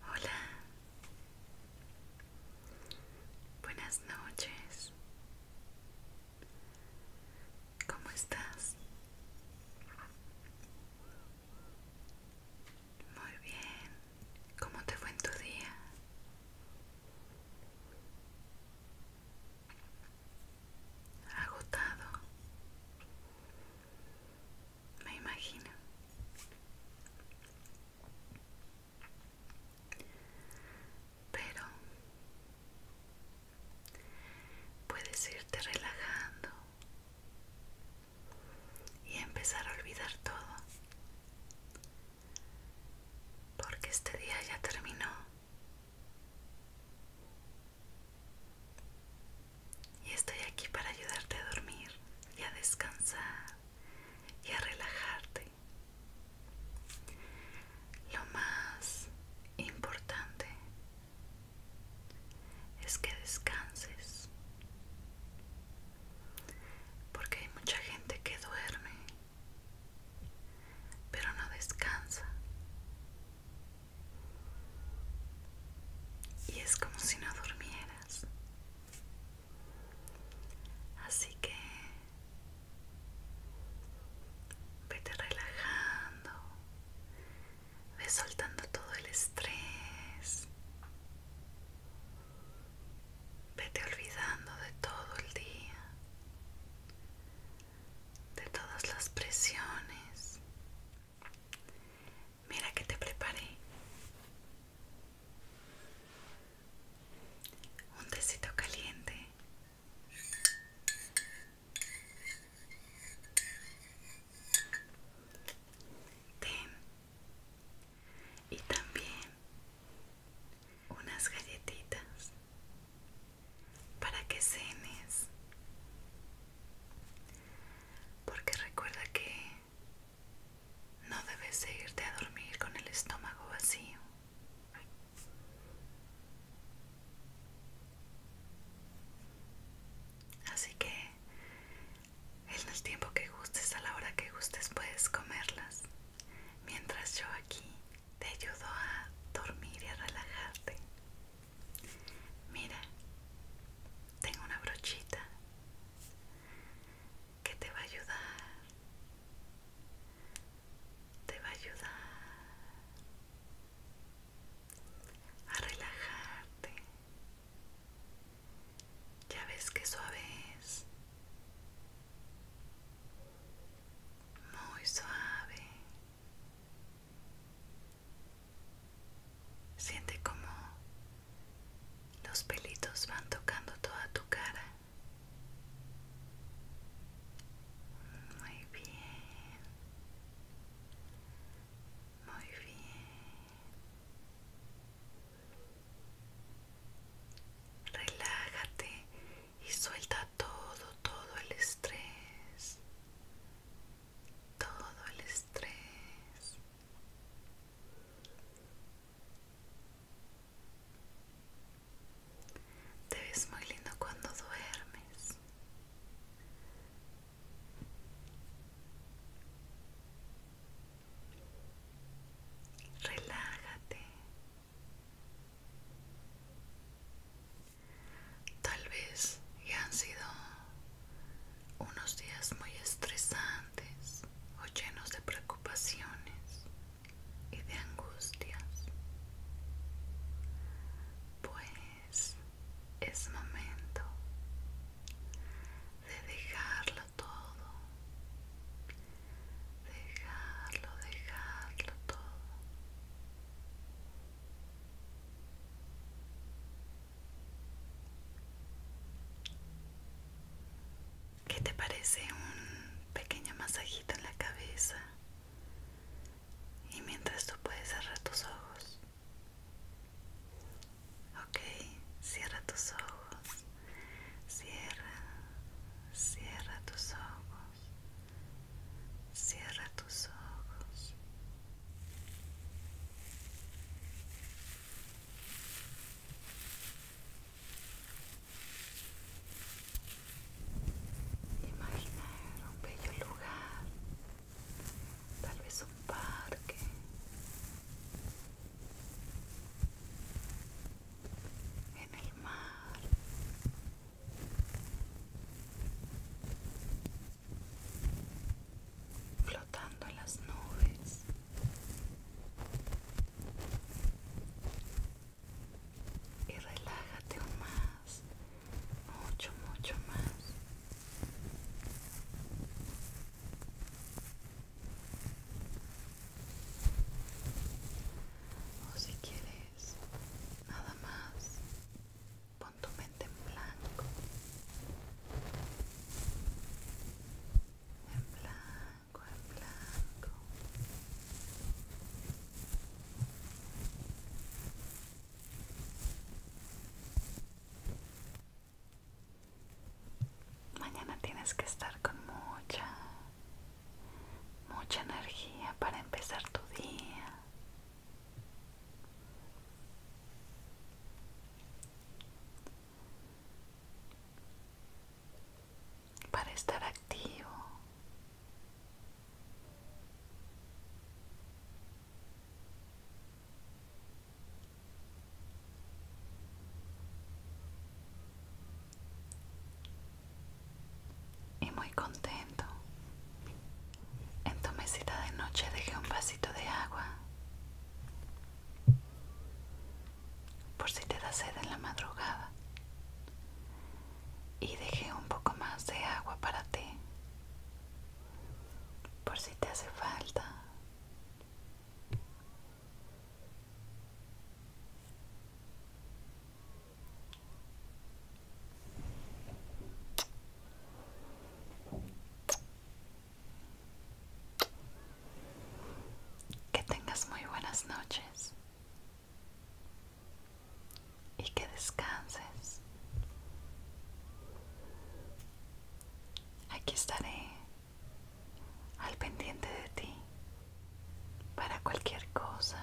Hola. Buenas noches. ¿Cómo estás? Muy bien. ¿Cómo te fue en tu día? agotado. Me imagino. Pero puedes irte relajando y empezar a olvidar todo. Porque este día ya terminó y estoy aquí para ayudarte a dormir y a descansar y a relajarte. Lo más importante es que descanses. Porque hay mucha gente que duerme, pero no descansa y es como si no durmieras. Así que vete relajando, ve soltando todo el estrés, vete olvidando de todo el día de todas las presiones. Mira que te preparé un tecito caliente. Y también unas galletitas para que cenes. Porque recuerda que no debes irte a dormir con el estómago vacío. Así que en el tiempo que gustes, a la hora que gustes, puedes comerlas mientras yo aquí te ayudo a dormir y a relajarte. Mira, tengo una brochita que te va a ayudar, te va a ayudar a relajarte. Ya ves que suave es muy suave. Siente como los pelitos van tocando toda tu cara. Muy bien. Muy bien. Relájate y suelta todo, todo el estrés. Todo el estrés. Te ves muy lindo cuando duermes. Relájate. Tal vez ya han sido unos días muy estresantes o llenos de preocupaciones y de angustias. Pues es momento de dejar todo, dejarlo, dejarlo todo. ¿Qué te parece un pequeño masajito en la cabeza? Y mientras tú puedes cerrar tus ojos Ok, cierra tus ojos. Cierra, cierra tus ojos. Cierra tus ojos. Imagina un bello lugar tal vez un parque. En el mar. Flotando en las nubes. Y relájate un más. Mucho, mucho más o si quieres nada más pon tu mente en blanco en blanco en blanco Mañana tienes que estar con mucha, mucha energía para empezar tu día. Para estar activo. Y muy contento. En tu mesita de noche dejé un vasito de agua. Por si te da sed en la madrugada. Y dejé un poco más de agua para ti por si te hace falta. Que tengas muy buenas noches y que descanses. Aquí estaré al pendiente de ti para cualquier cosa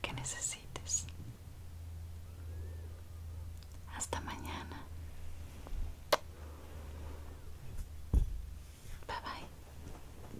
que necesites. Hasta mañana. Bye bye.